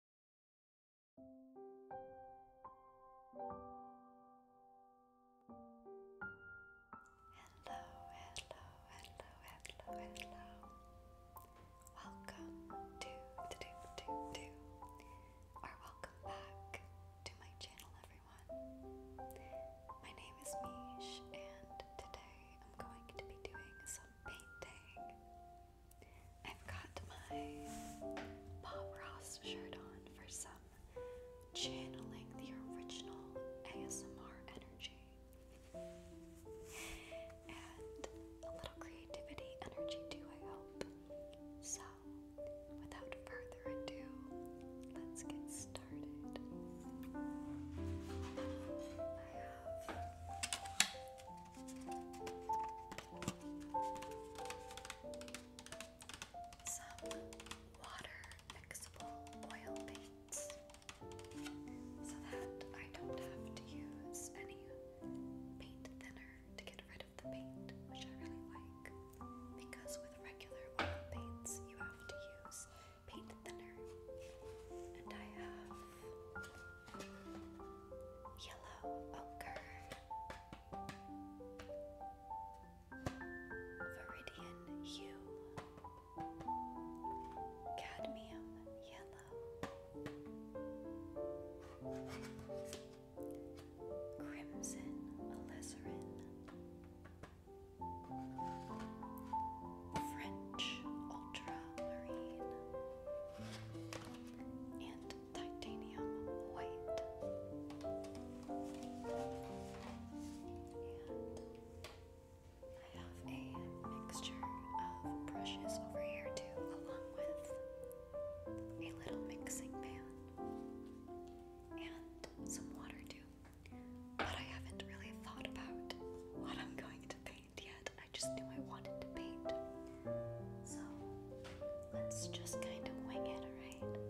Hello, hello, hello, hello, hello. Welcome to to do to or welcome back to my channel everyone. My name is Mish and today I'm going to be doing some painting. I've got my Bob Ross shirt on for some channeling the original ASMR energy and a little creativity energy too, I hope. So, without further ado, let's get started. Some water fixable oil paints so that I don't have to use any paint thinner to get rid of the paint, which I really like because with regular oil paints you have to use paint thinner. And I have yellow ochre, viridian hue, cadmium yellow, crimson alizarin. French ultramarine and titanium white. I have a mixture of brushes over here too, along with a little mixing pan and some water too. But I haven't really thought about what I'm going to paint yet. I just knew I wanted to paint. So let's just kind of wing it, alright?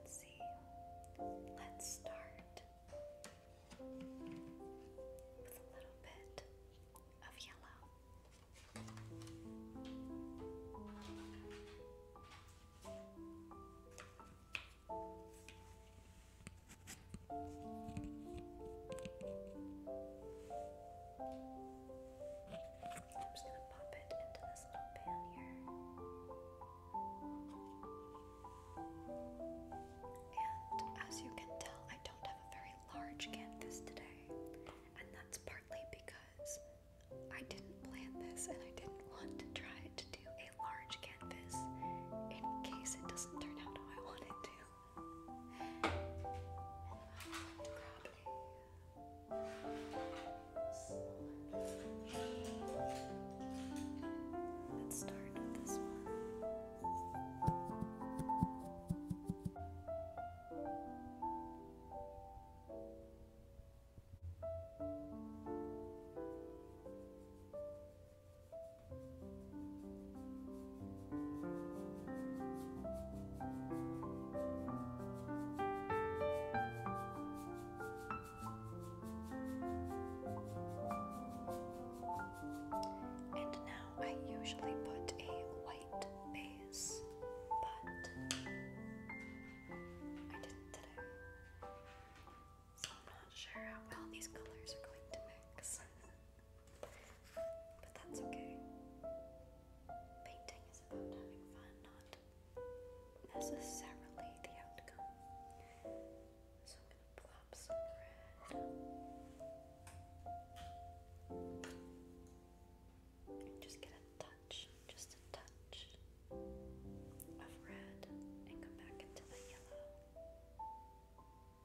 Let's see. Let's start with a little bit of yellow. I'm just going to pop it into this little pan here. And as you can tell, I don't have a very large canvas today. And that's partly because I didn't plan this and I didn't want to try to do a large canvas in case it doesn't turn out how I want it to. Let's start with this one. And now I usually put a white base, but I didn't today. So I'm not sure how well these colors are going to mix. But that's okay. Painting is about having fun, not necessarily the outcome. So I'm gonna plop some red. And just get a touch, just a touch of red and come back into the yellow.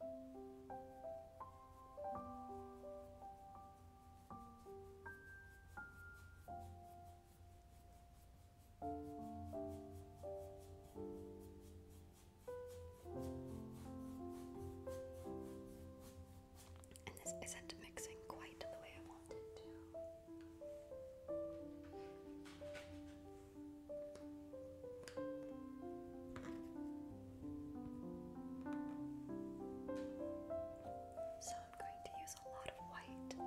And this isn't mixing quite the way I want to. So I'm going to use a lot of white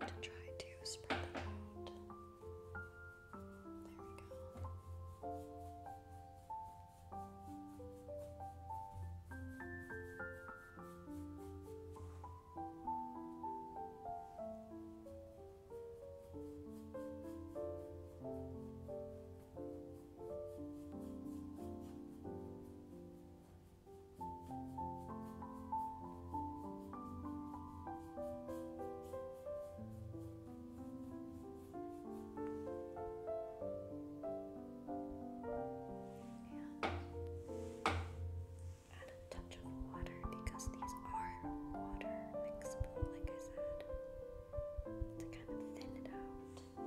to try to spread it out. There we go add a touch of water because these are water mixable, like I said, to kind of thin it out.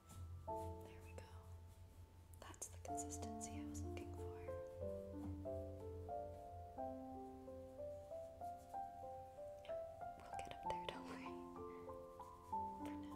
There we go. That's the consistency I was looking for. we'll get up there, don't worry. For now.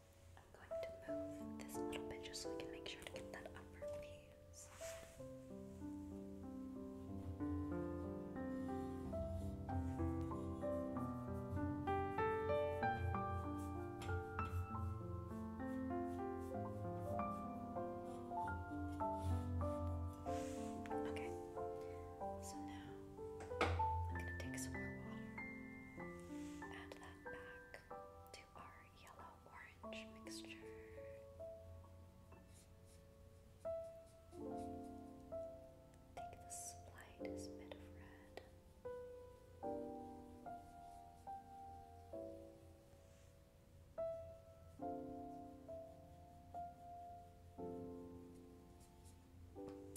I'm going to move this a little bit just so we can make sure to get that upper piece. Okay, so now I'm going to take some more water, add that back to our yellow orange mixture. Take the slightest bit of red.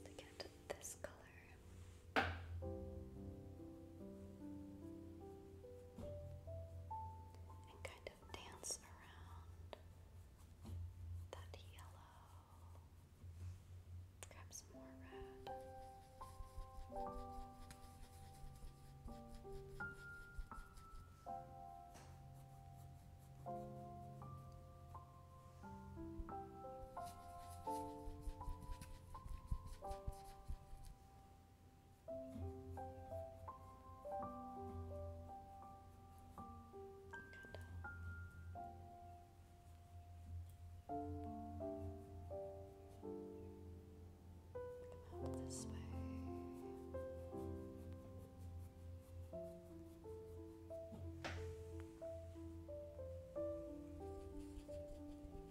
To get this color, color. And kind of dance around that yellow. Grab some more red. Come out this way. Good.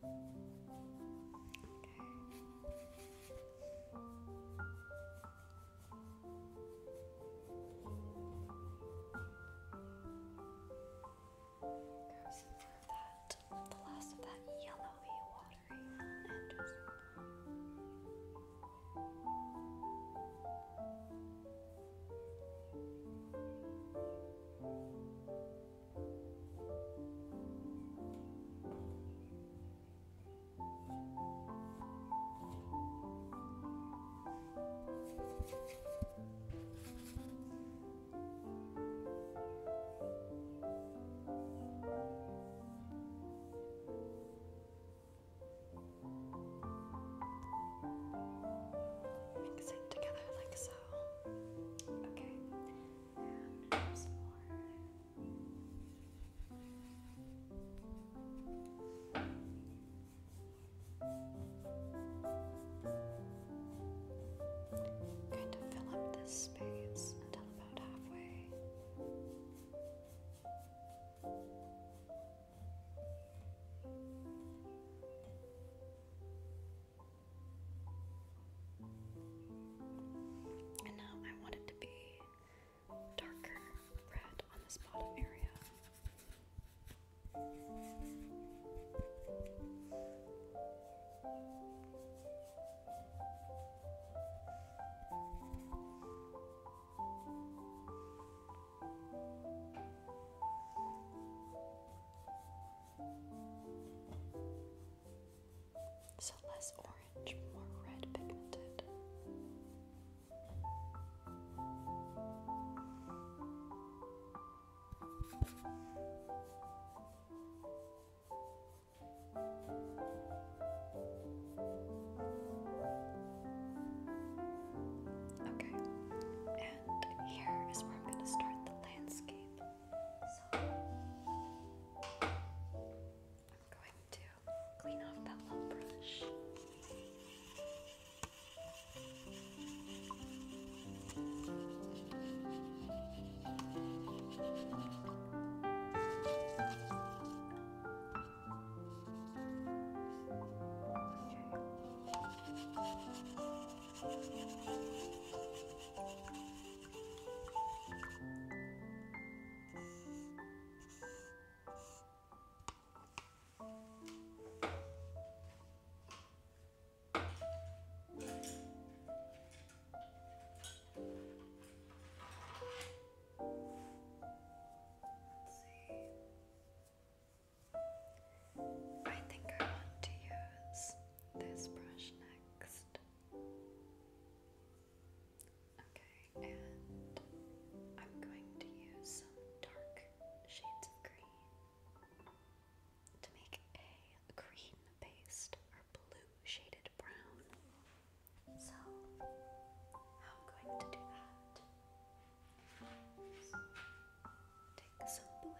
Goes through that, the last of that yellowy, watery Mix it together like so. Okay, and there's fill up this space until about halfway. And now I want it to be darker red on this bottom area. So less orange, more red pigmented. Okay, and here is where I'm going to start the landscape. I'm going to clean off that little brush. Okay. I think I want to use this brush next. Okay, and I'm going to use some dark shades of green to make a green based or blue shaded brown. So, how I'm going to do that is take some blue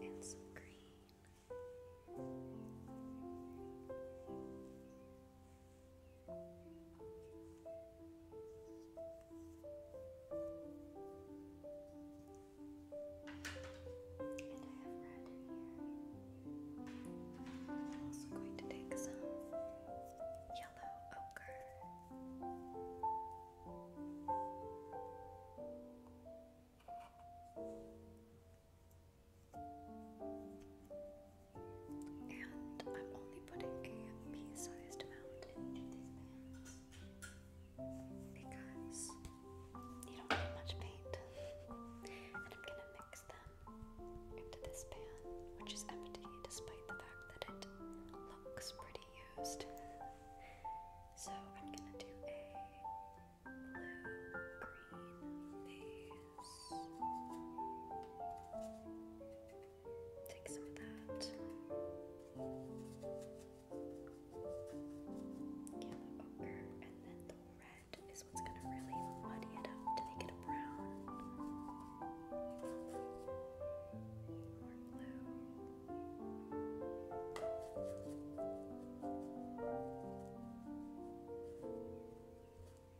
and some green. And I am also going to take some yellow ochre. And I'm only putting a pea-sized amount into these pans because you don't need much paint. And I'm gonna mix them into this pan, which is empty despite the fact that it looks pretty used. So I'm gonna do a blue green, a Take some of that. Yellow ochre, and then the red is what's going to really muddy it up to make it a brown.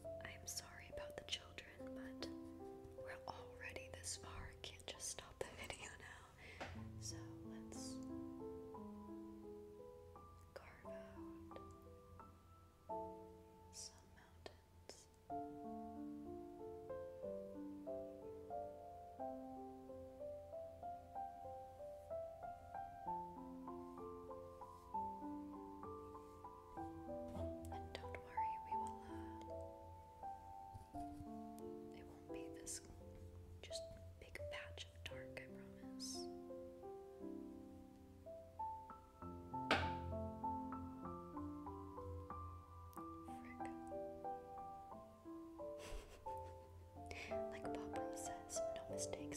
I'm sorry about the children, but we're already this far. can't just stop the video now. So let's carve out some mountains. And don't worry, we will, uh, it won't be this just big patch of dark, I promise. like Pop Ross says, no mistakes.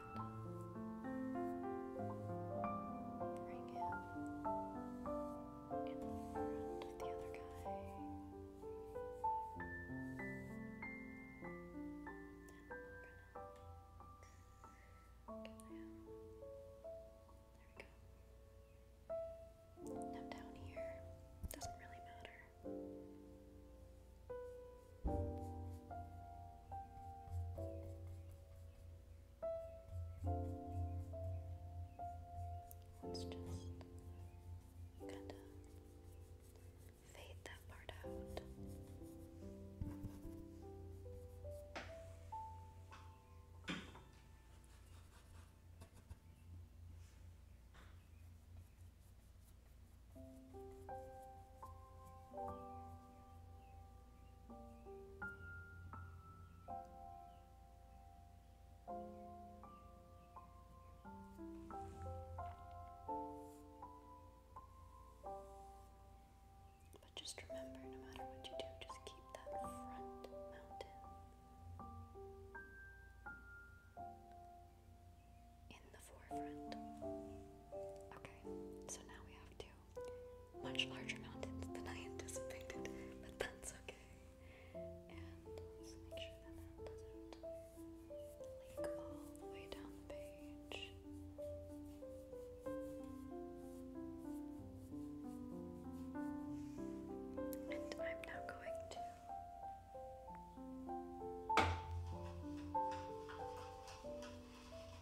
Bring him in front of the other guy. And we're gonna get him. There we go. Now down here, doesn't really matter. Let's just kind of fade that part out. But just remember, no matter what you do, just keep that front mountain in the forefront. Okay, so now we have to much larger mountains than I anticipated, but that's okay. And make sure that that doesn't leak all the way down the page. And I'm now going to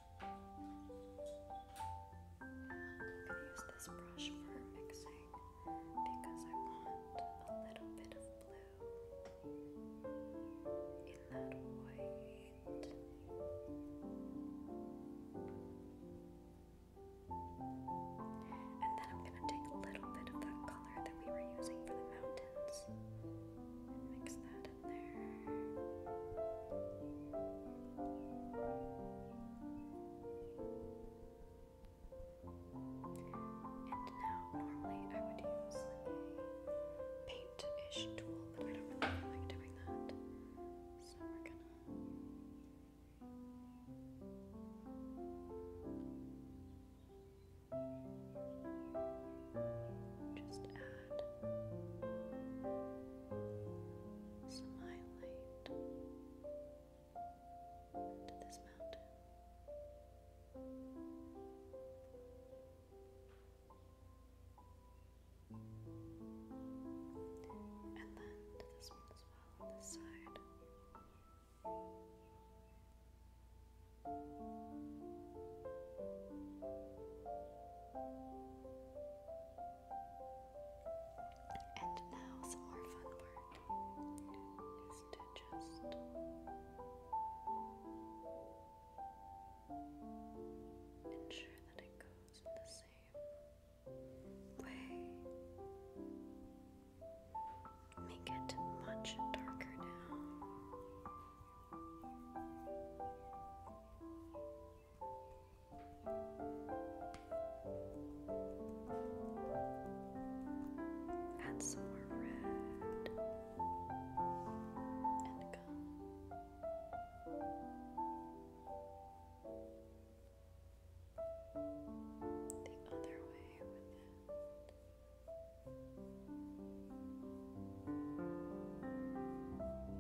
I'm gonna use this brush for mixing because I want a little bit of blue in that white. And then I'm gonna take a little bit of that color that we were using for the mountains and mix that in there. And now, normally I would use a paint ish tool, but I don't really like doing that. So we're gonna. Just add good. Smile to this mountain. And then to this one as well on this side. And now, some more fun part is to just ensure that it goes the same way. Make it much darker now. Add some more red and gum. The other way with it.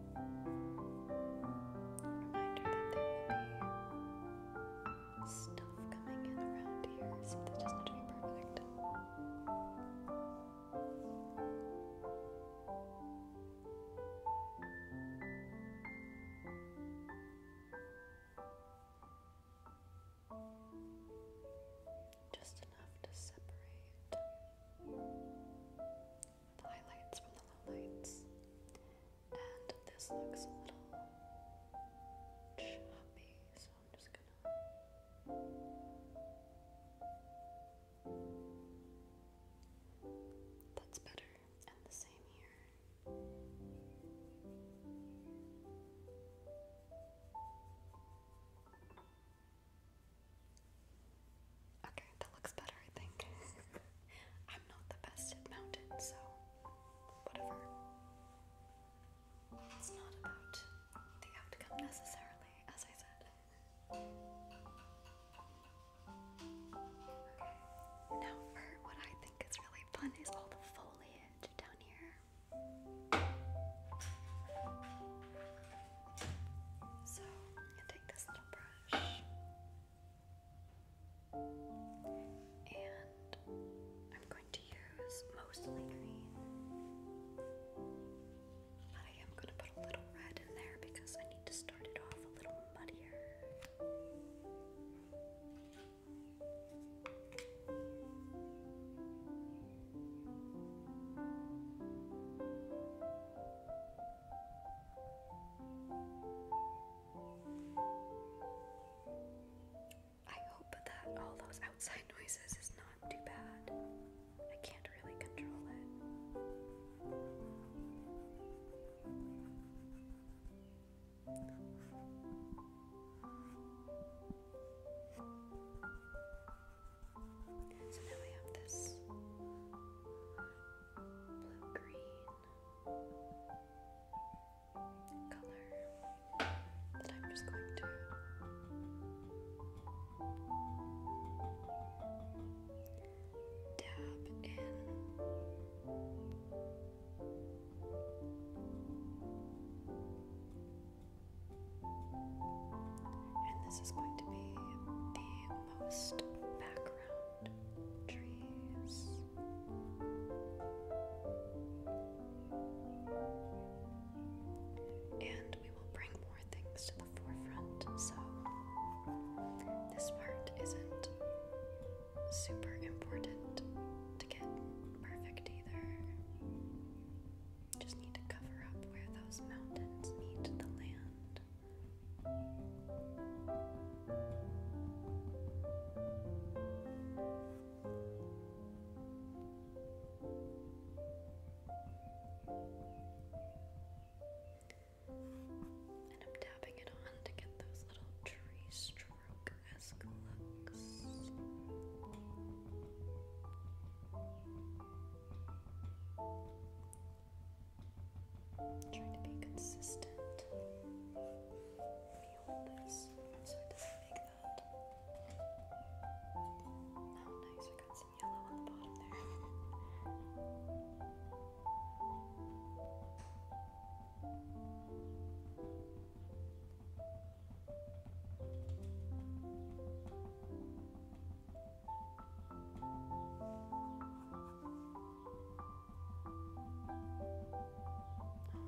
Reminder that there will be stuff coming in around here, so that doesn't have to be perfect. Just enough to separate the highlights from the lowlights. And this looks a little choppy, so I'm just gonna that's better, and the same here. Okay, that looks better, I think. I'm not the best at mountains, so whatever. It's not about the outcome necessarily, as I said. Okay, now for what I think is really fun is all the foliage down here. So, take this little brush. And I'm going to use mostly green. But I am going to put a little red in there because I need to start it off a little muddier. I hope that all those outside noises is not too bad. I can't really control it. So now I have this blue green color that I'm just going to dab in. And this is going to be the most background trees. And we will bring more things to the forefront, so this part isn't super important to get perfect either. Just need to cover up where those mountains meet the land. And I'm tapping it on to get those little tree stroke esque looks. Trying to be consistent. Let hold this so it doesn't make that. Oh, nice, we got some yellow on the bottom there.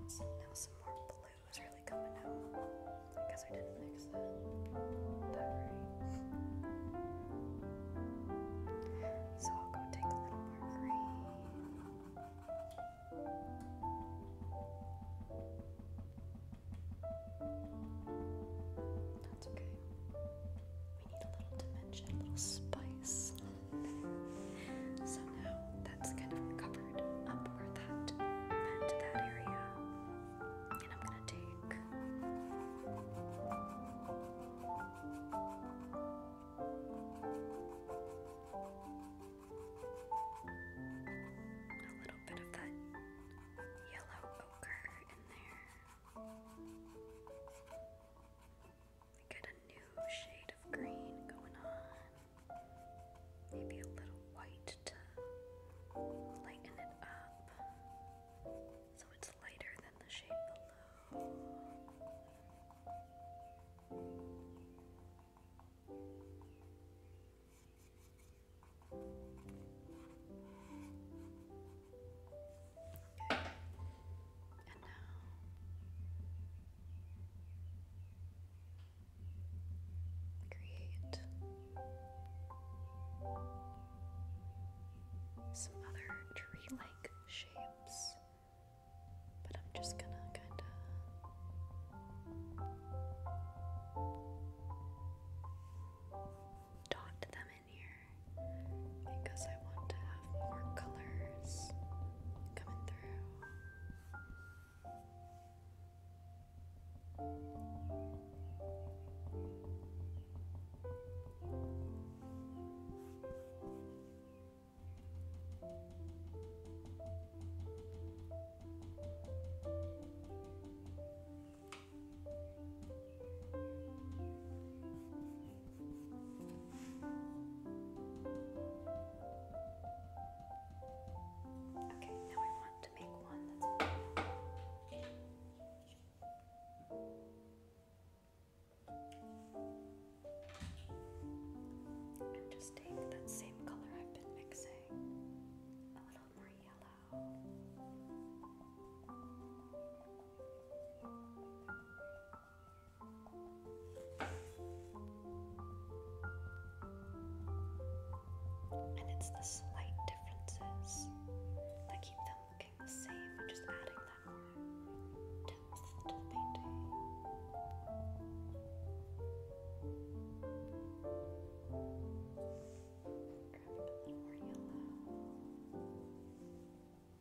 So now some more blue is really coming out. I guess I didn't mix that that right. So I'll go take a little more green. That's okay a little dimension, a little spice. so now that's kind of covered up where that meant that area. And I'm gonna take a little bit of that yellow ochre in there. Get a new shade of green going on. Maybe a little white to lighten it up so it's lighter than the shade below. And now create some other tree like shapes, but I'm just gonna kind of dot them here because I want to have more colors coming through. Okay, now I want to make one that's and just take that same color I've been mixing, a little more yellow. And it's the slight differences that keep them looking the same, and just adding that more depth to the painting. Grabbing a little more yellow.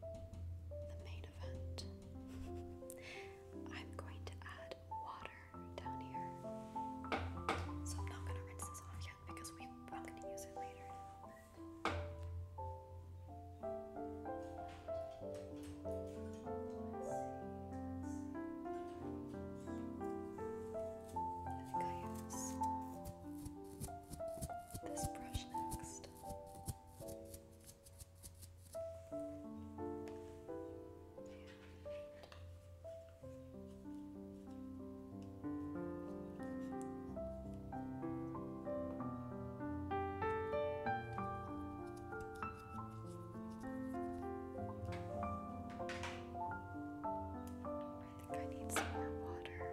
The main event. I'm going to add water down here. So I'm not going to rinse this off yet because we, i going to use it later. I think I use this brush next. I think I need some more water.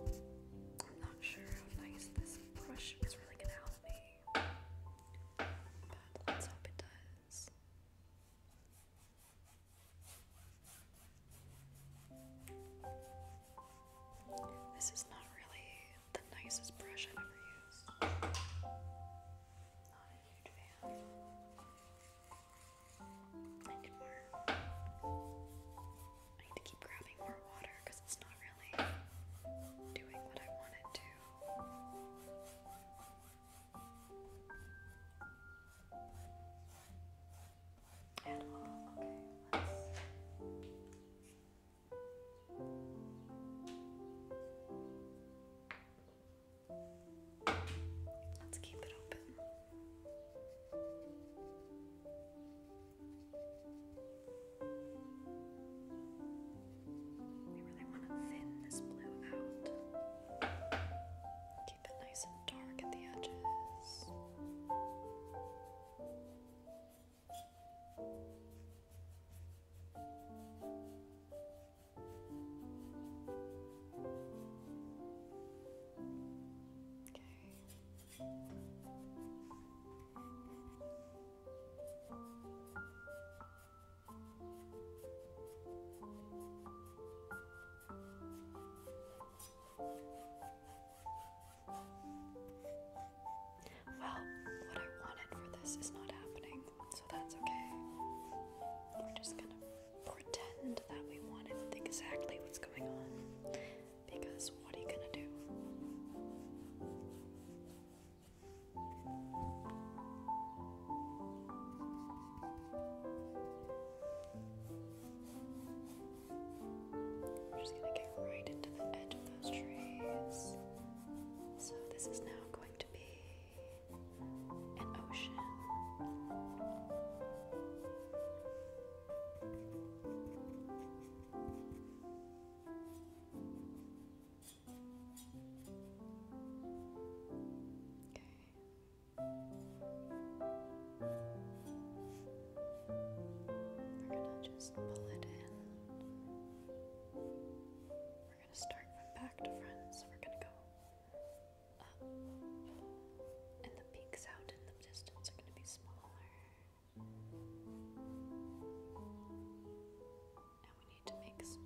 I'm not sure how nice this brush is really gonna help me, but let's hope it does. This is not really the nicest brush I've ever used. Not a huge fan. I need more. I need to keep grabbing more water because it's not really doing what I want it to. At all. Okay, let's. keep it open. We really want to thin this blue out. Keep it nice and dark at the edges. Okay. Well, what I wanted for this is not happening, so that's okay. We're just gonna pretend that we wanted exactly what's going on because what are you gonna do? just gonna get right into the edge of those trees. So, this is now going to be an ocean. We're going to just pull it in. We're going to start from back to front. So we're going to go um, and the peaks out in the distance are going to be smaller. And we need to make peaks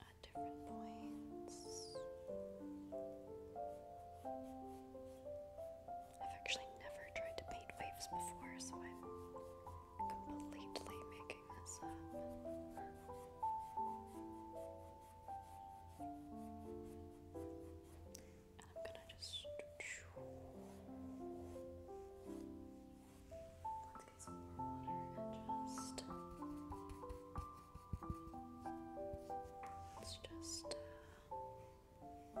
at different points. I've actually never tried to paint waves before, so I'm completely making this up. And I'm gonna just let's get some more water and just let's just uh,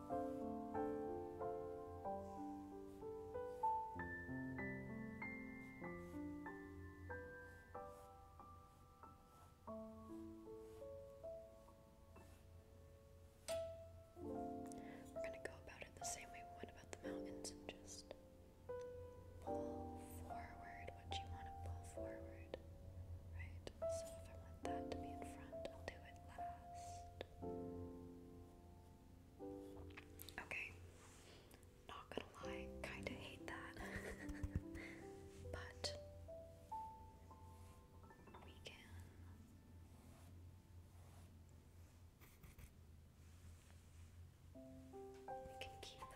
We're going to go about it the same way we went about the mountains just pull forward what you want to pull forward, right? So if I want that to be in front, I'll do it last. Okay. Not gonna lie, kinda hate that. but we can we can keep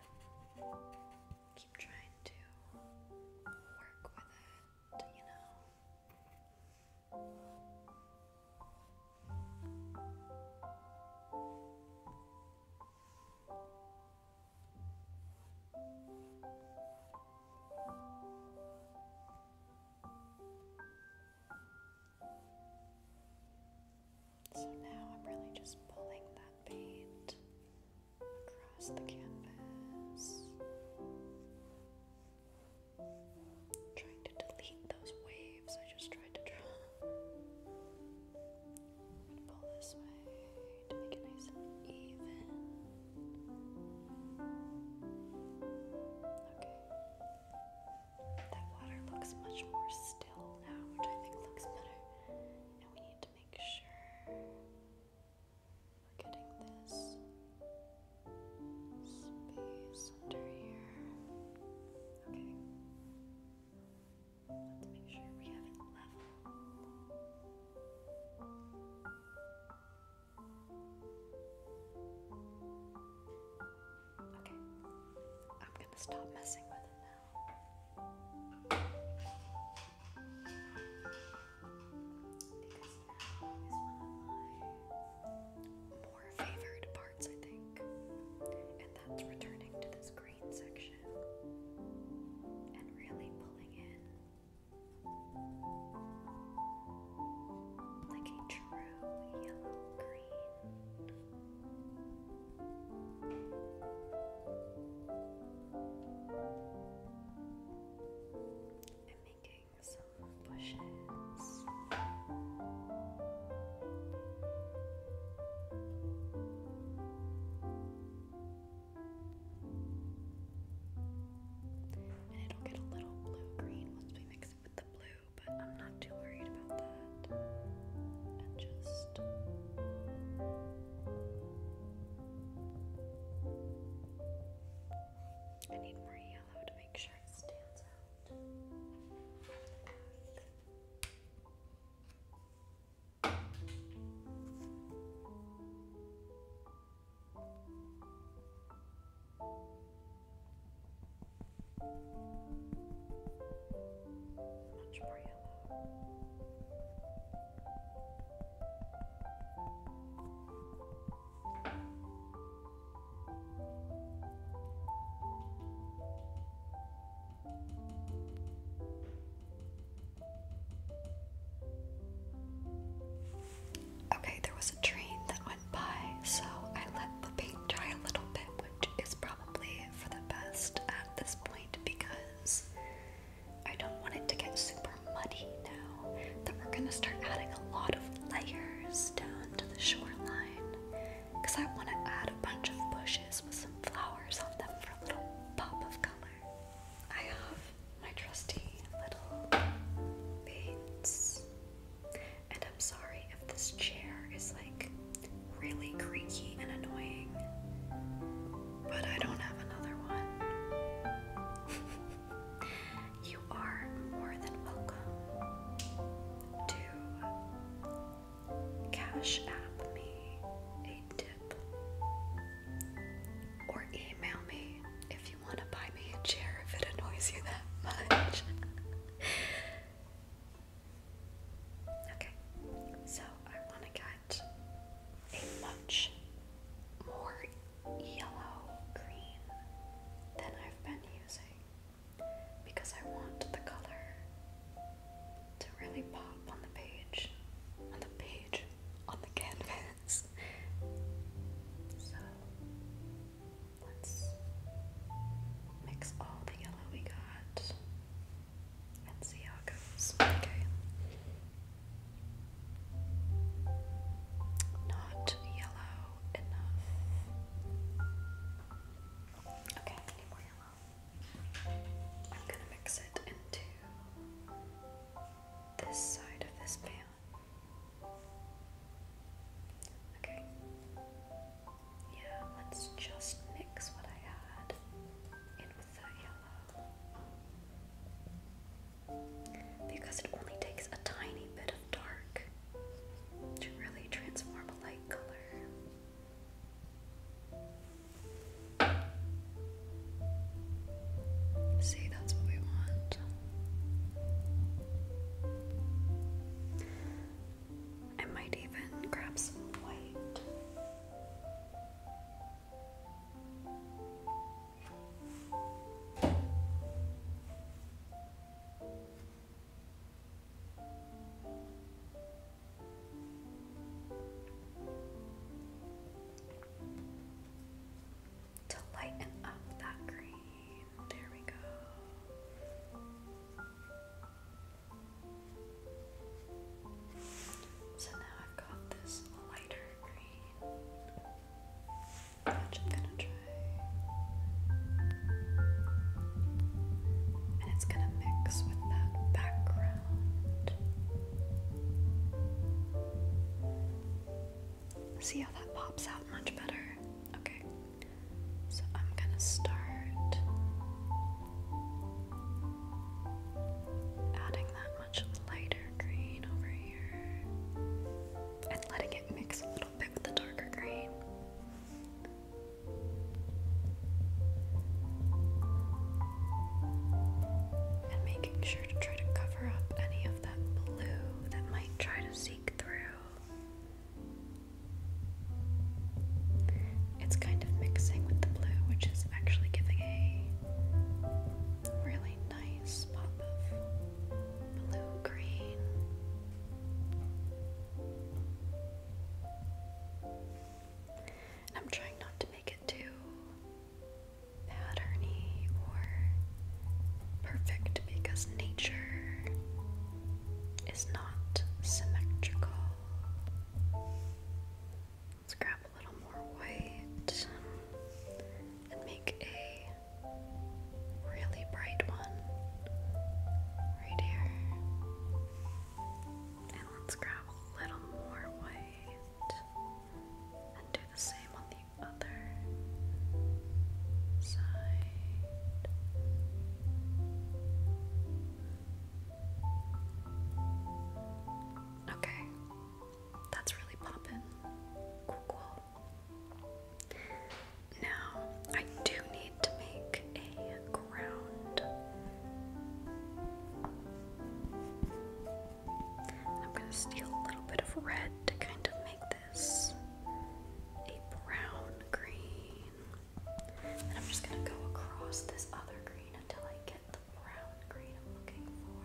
keep trying to work with it, you know. So now I'm really just pulling that paint across the canvas. Trying to delete those waves I just tried to draw. pull this way to make it nice and even. Okay. That water looks much more still now, which I think looks better. And we need to make sure we're getting this space under here. Okay. Let's make sure we have it level. Okay. I'm going to stop messing with it now more favored parts, I think. And that's returning to this green section and really pulling in like a true yellow green. i making bushes. And it'll get a little blue green once we mix it with the blue, but I'm not too worried about that. And just I need more yellow to make sure it stands out. Much more yellow. Okay, there was a train that went by, so I let the paint dry a little bit, which is probably for the best at this point because I don't want it to get super muddy now that we're gonna start adding a lot of layers down to the shoreline I want to add a bunch of bushes with some flowers on them for a little pop of color. I have my trusty little paints, and I'm sorry if this chair is like really creaky and annoying, but I don't have another one. You are more than welcome to cash app me a tip or email me if you want to buy me a chair if it annoys you that much. okay, so I want to get a much more yellow green than I've been using because I want the color to really pop on the page, on the page, on the canvas. so let's mix all the yellow we got and see how it goes. Okay not yellow enough. Okay, I more yellow. I'm gonna mix it into this side of this pan. Okay. Yeah, let's just mix what I had in with that yellow because it only takes a tiny bit of dark to really transform a light color. See, that's what we want. I might even grab some white. To lighten up that green, there we go. So now I've got this lighter green. I'm gonna try. And it's gonna mix with that background. See how that pops out much better? Okay. So I'm gonna start adding that much lighter green over here and letting it mix a little bit with the darker green. And making sure to try to cover up any of that blue that might try to seek through. It's kind of mixing with the blue, which is actually giving a really nice pop of blue green. I'm trying not to make it too patterny or perfect because nature is not symmetrical. Let's grab a little more white and make a really bright one right here. And let's grab a little more white and do the same on the other side. Okay, that's really popping. cool. Now, I do need to make a ground. I'm going to steal a little bit of red to kind of make this a brown green. And I'm just going to go across this other green until I get the brown green I'm looking for.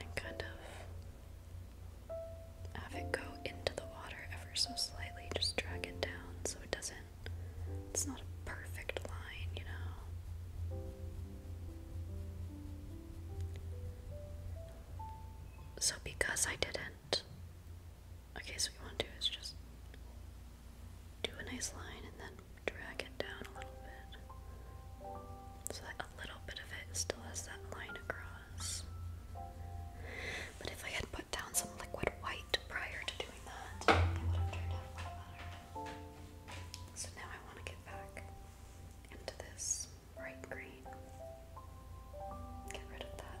and kind of have it go into the water ever so slightly, just drag it down so it doesn't, it's not a perfect line, you know. So, because I didn't Okay, so we want to do is just do a nice line and then drag it down a little bit. So that a little bit of it still has that line across. But if I had put down some liquid white prior to doing that, it would have turned out a lot better. So now I want to get back into this bright green. Get rid of that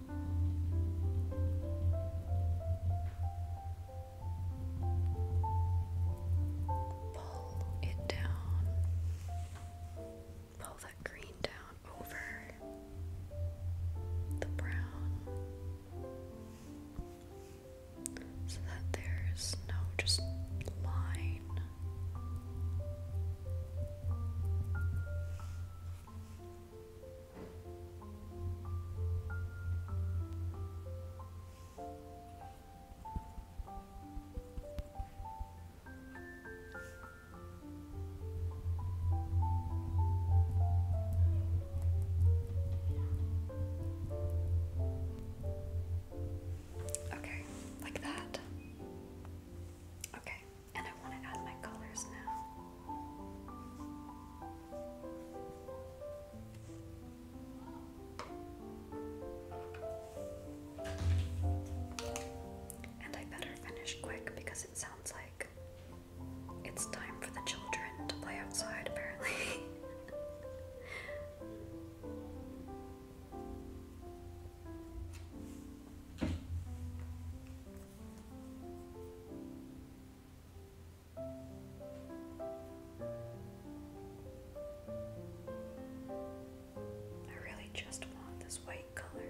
Pull it down. Pull that green down over the brown so that there's no just line. Okay, like that. Okay, and I want to add my colors now. And I better finish quick because it sounds like it's time for the children to play outside, apparently. I really just want this white color.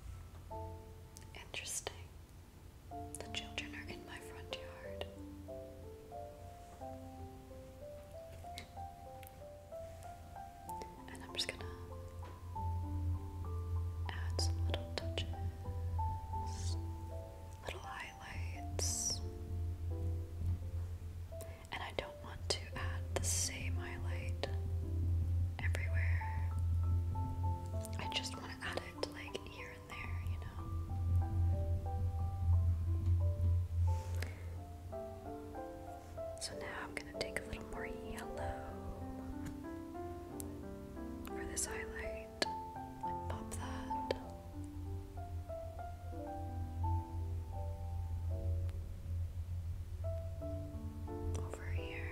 Interesting. The children are in my front yard. And I'm just gonna add some little touches, little highlights. And I don't want to add the same highlight everywhere. I just want to add it like here and there, you know. So now I'm going to take a little more yellow for this highlight pop that. Over here,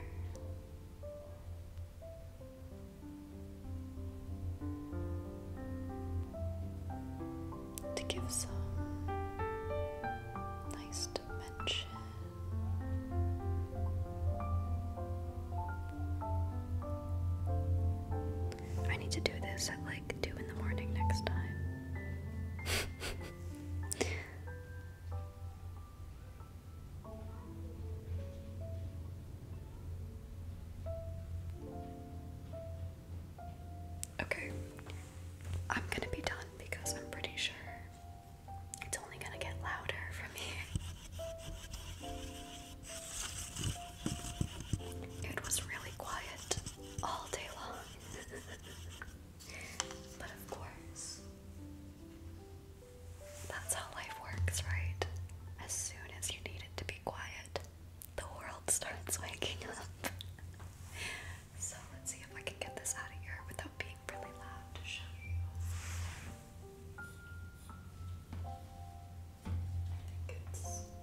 to give some nice dimension. I need to do this at like 2 in the morning next time. Okay, I'm gonna be done because I'm pretty sure it's only gonna get louder from here. It was really quiet all day long, but of course, that's how life works, right? As soon as you need it to be quiet, the world starts waking up. so let's see if I can get this out of here without being really loud I think it's locked.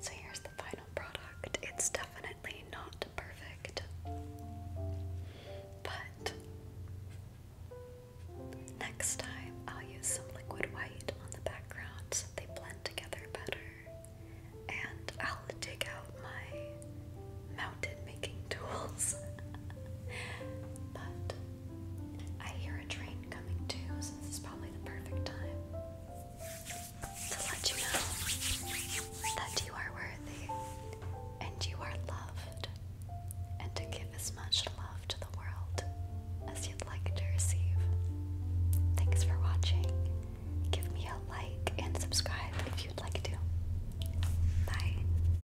So here's the final product. It's definitely not perfect, but next time I'll use some liquid white on the background so they blend together better. And I'll dig out my mountain making tools. but I hear a train coming too, so this is probably the perfect time to let you know that you are worthy and you are loved, and to give as much love to the world as you'd like to receive. Thanks for watching. Give me a like and subscribe if you'd like to. Bye.